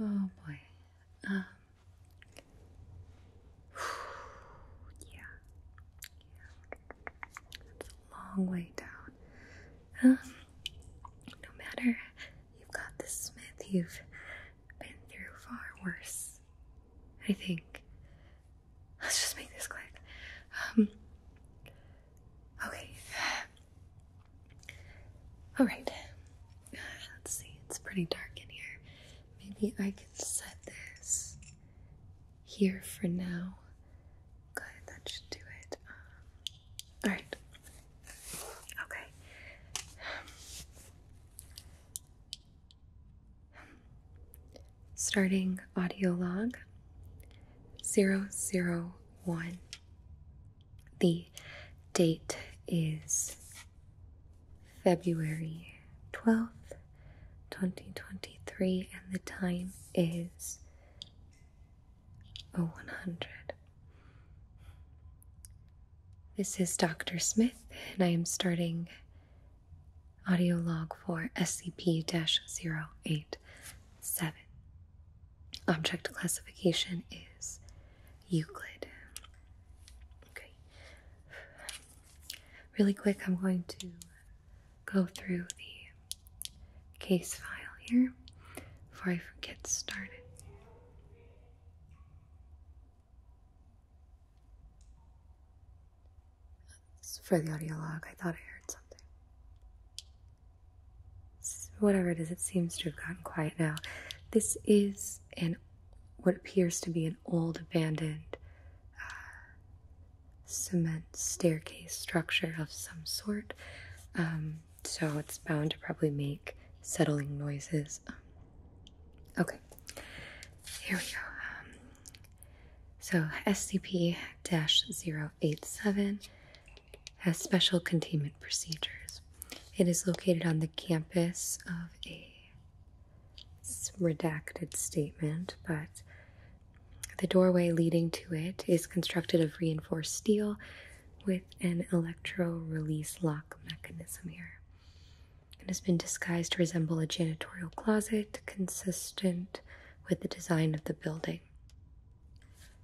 Oh boy. Um, yeah. yeah. a long way down. Um, no matter, you've got this Smith, you've been through far worse. I think. Let's just make this quick. Um, Okay. All right. Let's see. It's pretty dark in here. Maybe I can set this here for now. Good. That should do it. Um, all right. Okay. starting audio log 001. The date is February 12th, 2023, and the time is 0100. This is Dr. Smith, and I am starting audio log for SCP 08. Seven. Object classification is Euclid. Okay. Really quick, I'm going to go through the case file here before I get started for the audio log. I thought I heard something. whatever it is, it seems to have gotten quiet now. This is an what appears to be an old abandoned uh, cement staircase structure of some sort. Um, so it's bound to probably make settling noises. Um, okay, here we go. Um, so SCP-087 has special containment procedures. It is located on the campus of a redacted statement, but the doorway leading to it is constructed of reinforced steel with an electro-release lock mechanism here. It has been disguised to resemble a janitorial closet consistent with the design of the building.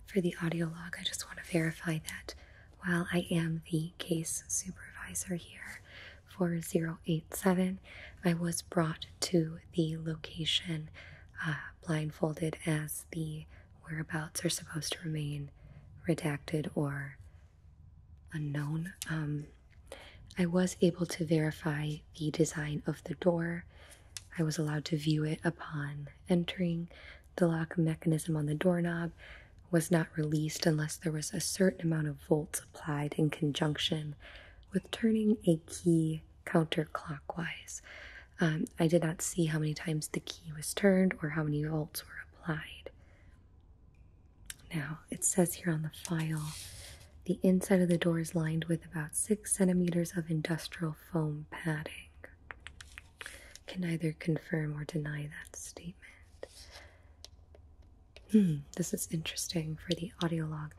For the audio log, I just want to verify that while I am the case supervisor here for 087, I was brought to the location uh, blindfolded as the whereabouts are supposed to remain redacted or unknown. Um, I was able to verify the design of the door I was allowed to view it upon entering. The lock mechanism on the doorknob was not released unless there was a certain amount of volts applied in conjunction with turning a key counterclockwise. Um, I did not see how many times the key was turned or how many volts were applied. Now, it says here on the file the inside of the door is lined with about six centimeters of industrial foam padding. Can either confirm or deny that statement. Hmm, this is interesting for the audio log.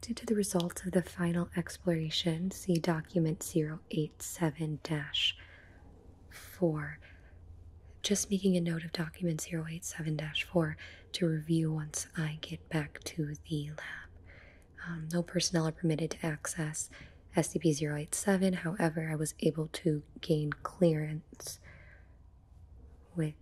Due to the results of the final exploration, see document 087 4. Just making a note of document 087 4 to review once I get back to the lab. Um, no personnel are permitted to access SCP 087, however, I was able to gain clearance with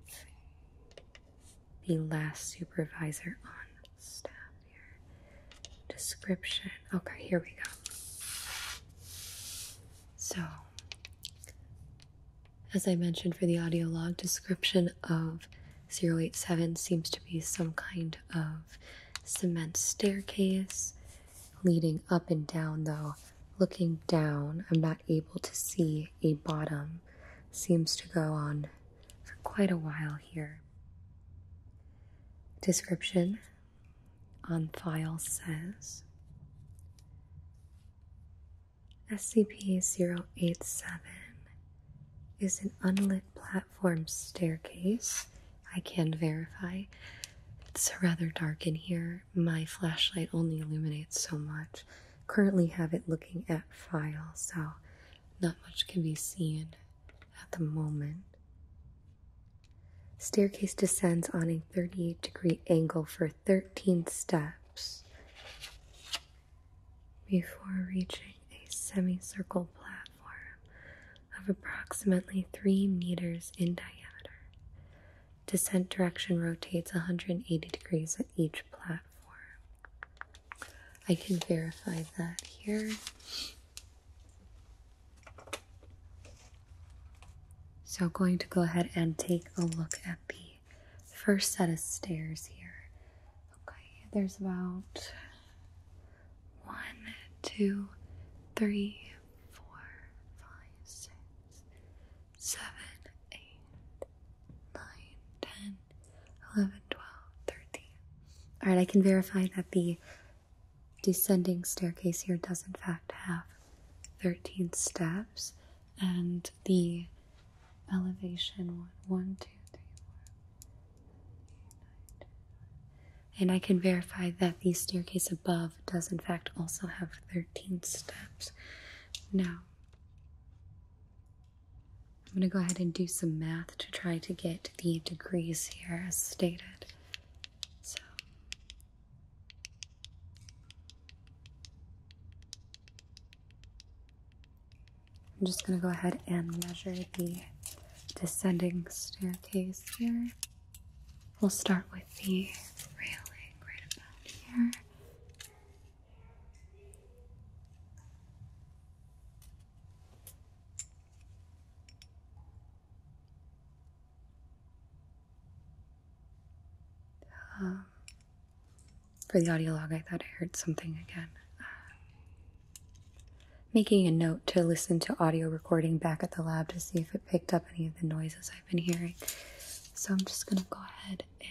the last supervisor on staff here. Description. Okay, here we go. So, as I mentioned for the audio log, description of Zero eight seven seems to be some kind of cement staircase leading up and down, though. Looking down, I'm not able to see a bottom. Seems to go on for quite a while here. Description on file says SCP-087 is an unlit platform staircase. I can verify. It's rather dark in here. My flashlight only illuminates so much. Currently have it looking at files, so not much can be seen at the moment. Staircase descends on a 38 degree angle for 13 steps before reaching a semicircle platform of approximately 3 meters in diameter. Descent direction rotates 180 degrees at each platform. I can verify that here. So, going to go ahead and take a look at the first set of stairs here. Okay, there's about one, two, three, four, five, six, seven, eight, nine, ten, eleven, twelve, thirteen. All right, I can verify that the descending staircase here does in fact have 13 steps and the elevation one, one, two, three, four, eight, nine, ten. And I can verify that the staircase above does, in fact, also have 13 steps. Now, I'm going to go ahead and do some math to try to get the degrees here as stated. So, I'm just going to go ahead and measure the descending staircase here. We'll start with the railing right about here. Um, for the audio log, I thought I heard something again. Uh, making a note to listen to audio recording back at the lab to see if it picked up any of the noises I've been hearing. So I'm just gonna go ahead and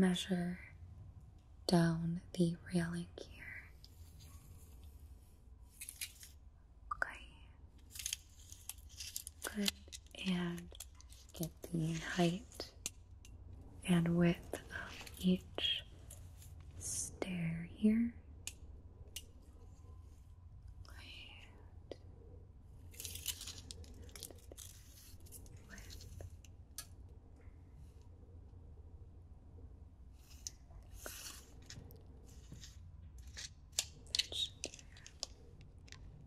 measure down the railing here. Okay. Good. And the height and width of each stair here. And width. Each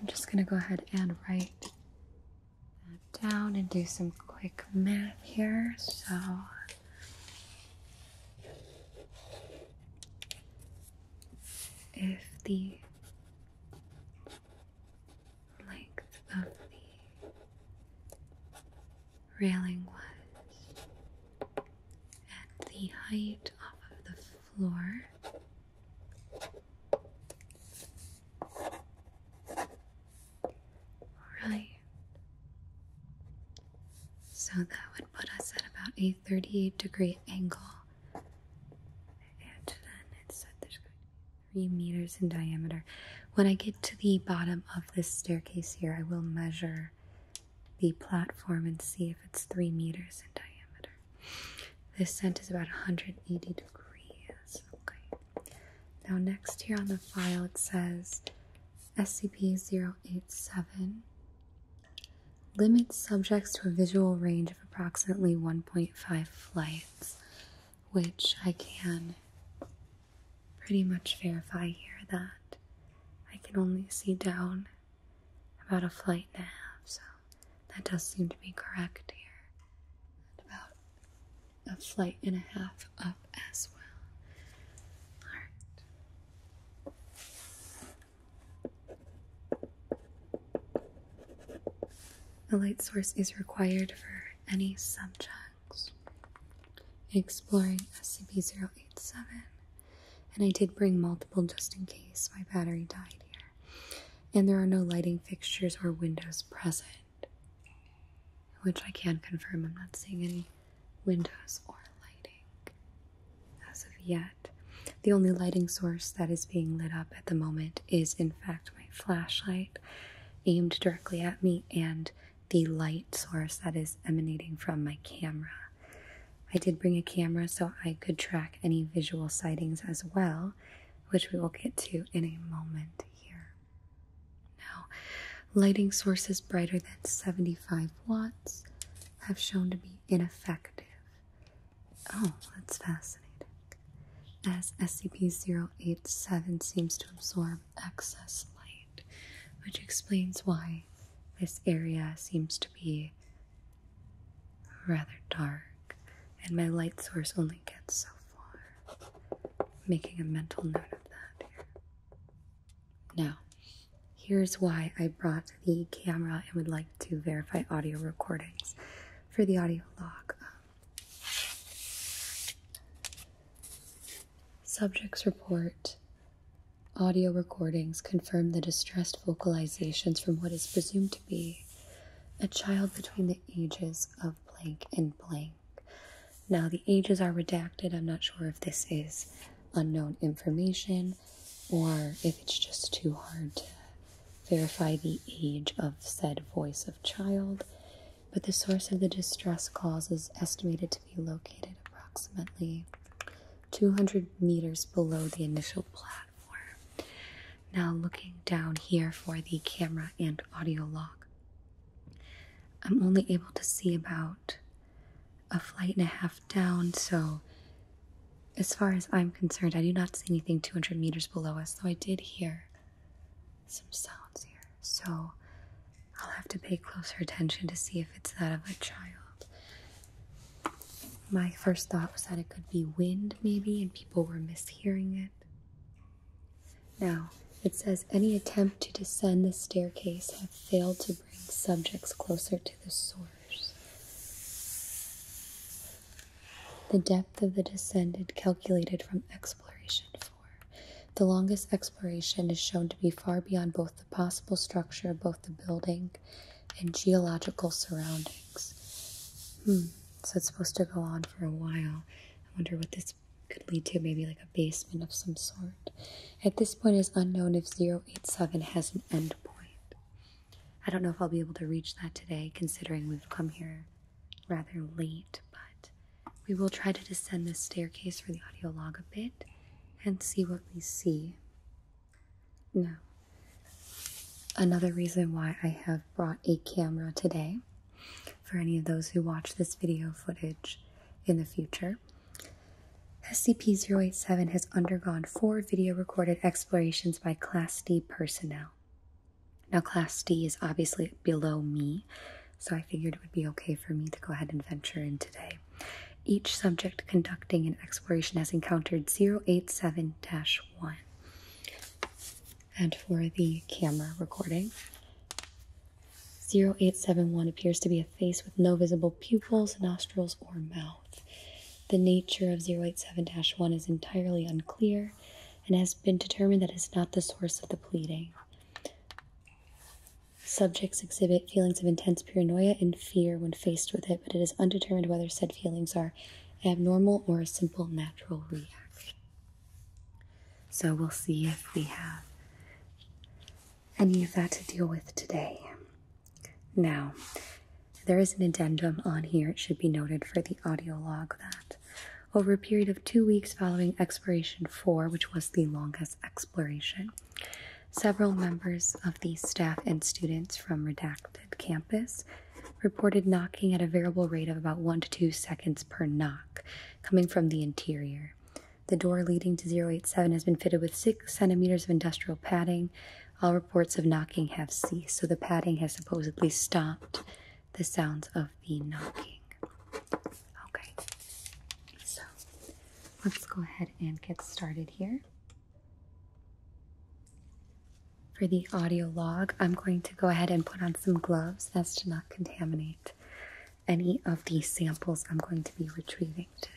I'm just going to go ahead and write that down and do some quick math here. So if the length of the railing was at the height off of the floor. Alright. So that would put us at about a 38 degree angle. And then it said there's going to be 3 meters in diameter. When I get to the bottom of this staircase here, I will measure the platform and see if it's three meters in diameter. This scent is about 180 degrees. Okay. Now, next here on the file, it says SCP 087. Limits subjects to a visual range of approximately 1.5 flights, which I can pretty much verify here that I can only see down about a flight and a half, so that does seem to be correct here. about a flight and a half up as well. Alright. A light source is required for any subject exploring SCP-087 and I did bring multiple just in case my battery died here and there are no lighting fixtures or windows present which I can confirm I'm not seeing any windows or lighting as of yet. The only lighting source that is being lit up at the moment is in fact my flashlight aimed directly at me and the light source that is emanating from my camera. I did bring a camera so I could track any visual sightings as well, which we will get to in a moment here. Now, lighting sources brighter than 75 watts have shown to be ineffective. Oh, that's fascinating. As SCP 087 seems to absorb excess light, which explains why this area seems to be rather dark, and my light source only gets so far. Making a mental note of that Now, here's why I brought the camera and would like to verify audio recordings for the audio log. Um, Subjects report audio recordings confirm the distressed vocalizations from what is presumed to be a child between the ages of blank and blank. Now, the ages are redacted. I'm not sure if this is unknown information or if it's just too hard to verify the age of said voice of child but the source of the distress call is estimated to be located approximately 200 meters below the initial platform. Now, looking down here for the camera and audio log, I'm only able to see about a flight and a half down, so as far as I'm concerned, I do not see anything 200 meters below us, though I did hear some sounds here. So I'll have to pay closer attention to see if it's that of a child. My first thought was that it could be wind, maybe, and people were mishearing it. Now, it says any attempt to descend the staircase have failed to bring subjects closer to the source. The depth of the descent descended calculated from exploration the longest exploration is shown to be far beyond both the possible structure of both the building and geological surroundings. Hmm, so it's supposed to go on for a while. I wonder what this could lead to, maybe like a basement of some sort. At this point, it is unknown if 087 has an end point. I don't know if I'll be able to reach that today, considering we've come here rather late, but we will try to descend this staircase for the audio log a bit and see what we see. Now, another reason why I have brought a camera today for any of those who watch this video footage in the future. SCP-087 has undergone four video recorded explorations by Class D personnel. Now, class D is obviously below me, so I figured it would be okay for me to go ahead and venture in today. Each subject conducting an exploration has encountered 087 1. And for the camera recording, 0871 appears to be a face with no visible pupils, nostrils, or mouth. The nature of 087 1 is entirely unclear, and has been determined that it is not the source of the bleeding. Subjects exhibit feelings of intense paranoia and fear when faced with it, but it is undetermined whether said feelings are abnormal or a simple natural reaction. So we'll see if we have any of that to deal with today. Now, there is an addendum on here, it should be noted for the audio log that over a period of two weeks following Exploration 4, which was the longest exploration. Several members of the staff and students from Redacted Campus reported knocking at a variable rate of about 1 to 2 seconds per knock, coming from the interior. The door leading to 087 has been fitted with 6 centimeters of industrial padding. All reports of knocking have ceased, so the padding has supposedly stopped the sounds of the knocking. Okay, so let's go ahead and get started here. For the audio log, I'm going to go ahead and put on some gloves as to not contaminate any of the samples I'm going to be retrieving today.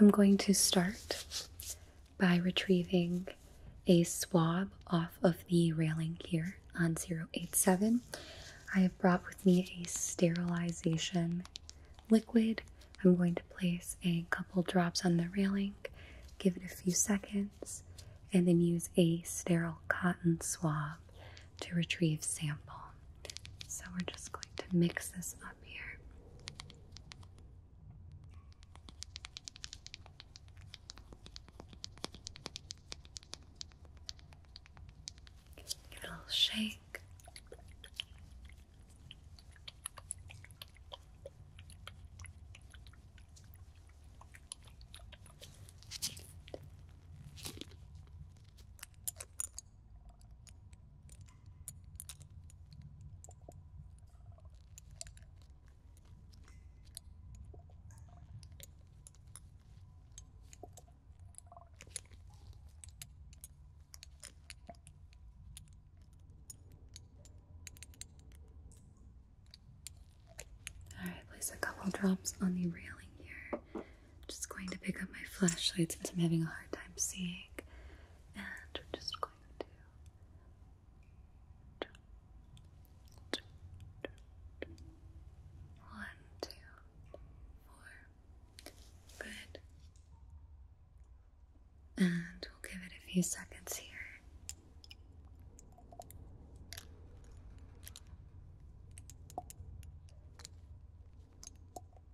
I'm going to start by retrieving a swab off of the railing here on 087. I have brought with me a sterilization liquid. I'm going to place a couple drops on the railing, give it a few seconds, and then use a sterile cotton swab to retrieve sample. So we're just going to mix this up here. Give it a little shake. Alright, place a couple drops on the railing here I'm just going to pick up my flashlight since I'm having a hard time seeing, and we're just going to. One, two, four. Good. And we'll give it a few seconds here.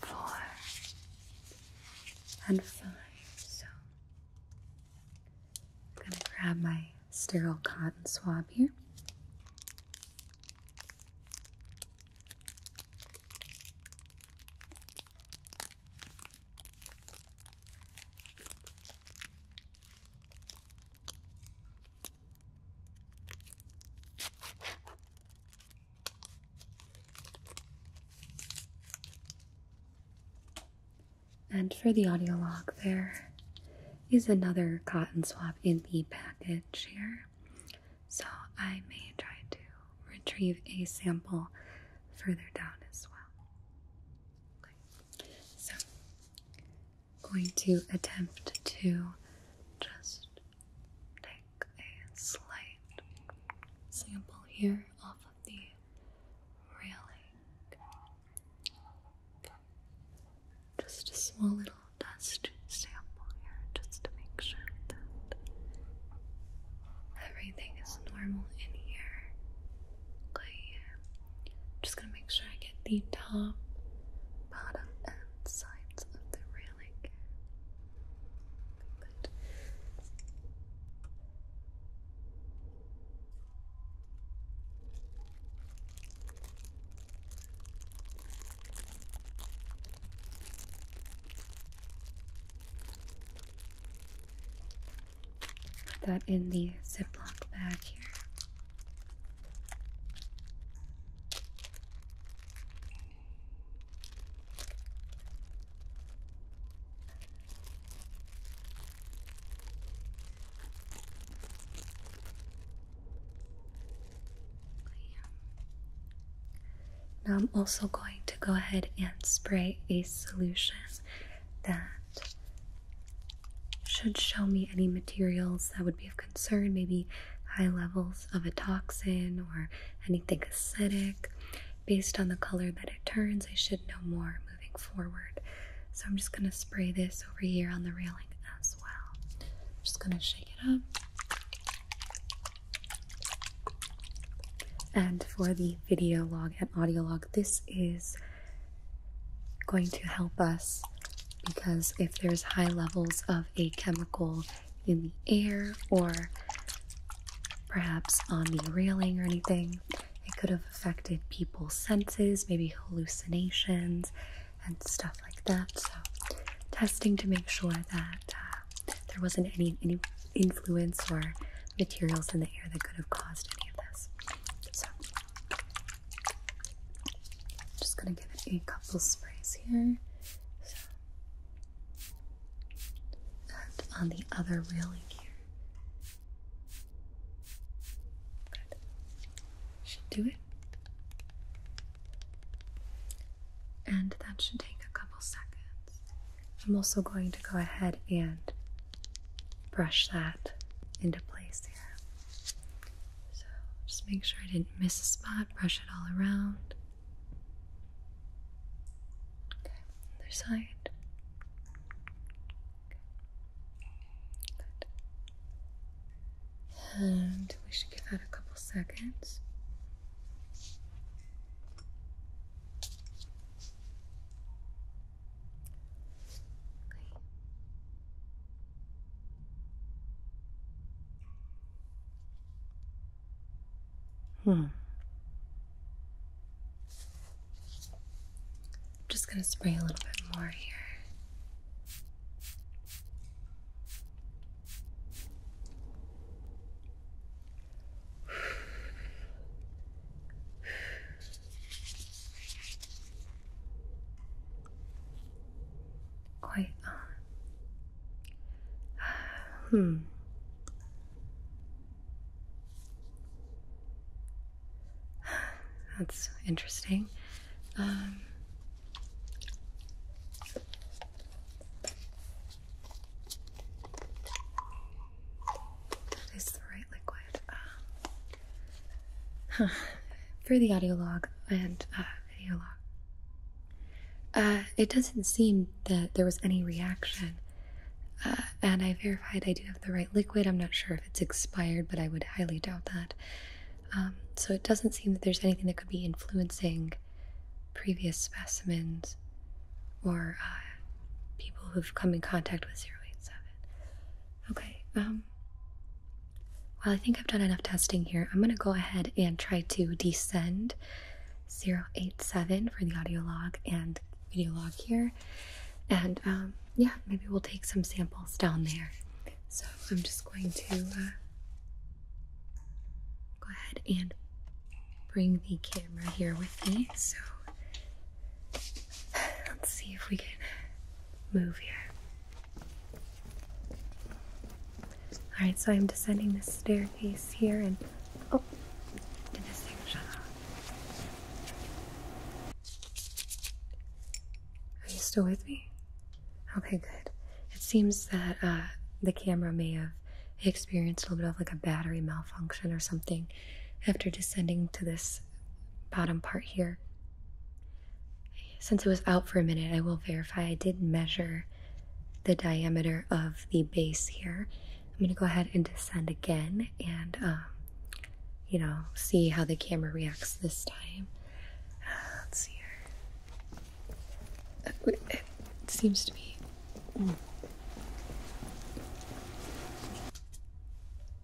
four, and five. So I'm going to grab my sterile cotton swab here. And for the audio log, there is another cotton swab in the package here. So I may try to retrieve a sample further down as well going to attempt to just take a slight sample here off of the railing. Just a small little dust sample here, just to make sure that everything is normal in here. Okay, just gonna make sure I get the top bottom and sides of the railing. Put that in the Ziploc bag here. Now I'm also going to go ahead and spray a solution that should show me any materials that would be of concern, maybe high levels of a toxin or anything acidic. Based on the color that it turns, I should know more moving forward. So I'm just going to spray this over here on the railing as well. just going to shake it up. And for the video log and audio log, this is going to help us because if there's high levels of a chemical in the air or perhaps on the railing or anything, it could have affected people's senses, maybe hallucinations and stuff like that. So, testing to make sure that uh, there wasn't any, any influence or materials in the air that could have caused any of this. So, I'm just gonna give it a couple sprays here. So. on the other railing here. Should do it. And that should take a couple seconds. I'm also going to go ahead and brush that into place so just make sure I didn't miss a spot, brush it all around. Okay, other side. Good. And we should give that a couple seconds. Hmm. I'm just going to spray a little bit more here quite on. Uh, hmm. That's interesting. Um, is the right liquid. Uh, For the audio log and uh, video log. Uh, it doesn't seem that there was any reaction. Uh, and I verified I do have the right liquid. I'm not sure if it's expired, but I would highly doubt that. Um, so it doesn't seem that there's anything that could be influencing previous specimens or people who've come in contact with 087. Okay, um, well, I think I've done enough testing here. I'm gonna go ahead and try to descend 087 for the audio log and video log here. And um, yeah, maybe we'll take some samples down there. So I'm just going to uh, go ahead and bring the camera here with me. So Let's see if we can move here. Alright, so I'm descending the staircase here and. Oh! Did this thing shut off? Are you still with me? Okay, good. It seems that uh, the camera may have experienced a little bit of like a battery malfunction or something after descending to this bottom part here. Since it was out for a minute, I will verify I did measure the diameter of the base here. I'm going to go ahead and descend again and, um, you know, see how the camera reacts this time. Uh, let's see here. Uh, it seems to be.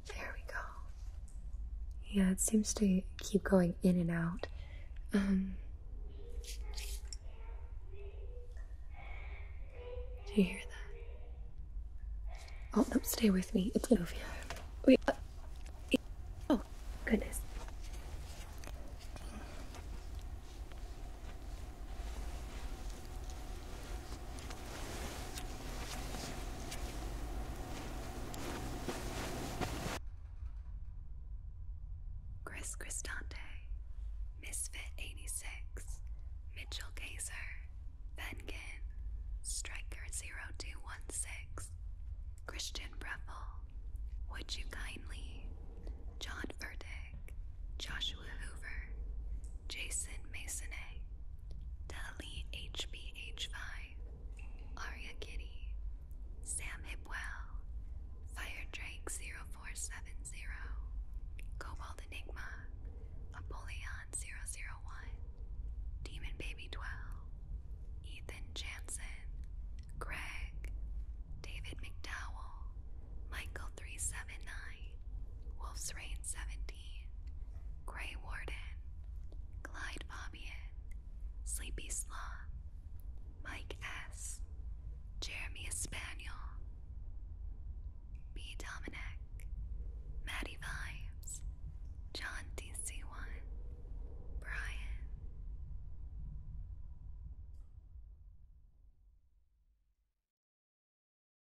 There we go. Yeah, it seems to keep going in and out. Um, do you hear that? Oh, no, stay with me. It's gonna Wait. Uh, oh, goodness. Chris Cristante, Misfit86, Mitchell Gazer, Benkin, Striker0216, Christian Breville, Would You Kindly, John Verdick, Joshua Hoover, Jason Masonay, Dali HBH5, Aria Kitty, Sam Hipwell, Fire Drake 0470, Cobalt Enigma, Apollyon 001, Demon Baby 12, Ethan Jansen, Greg, David McDowell, Michael 379, Wolf's Reign Seventy. Grey Warden, Clyde Fabian, Sleepy Sloth, Mike S., Jeremy Espaniel, B. Dominic, Maddie Vibes, John DC1, Brian.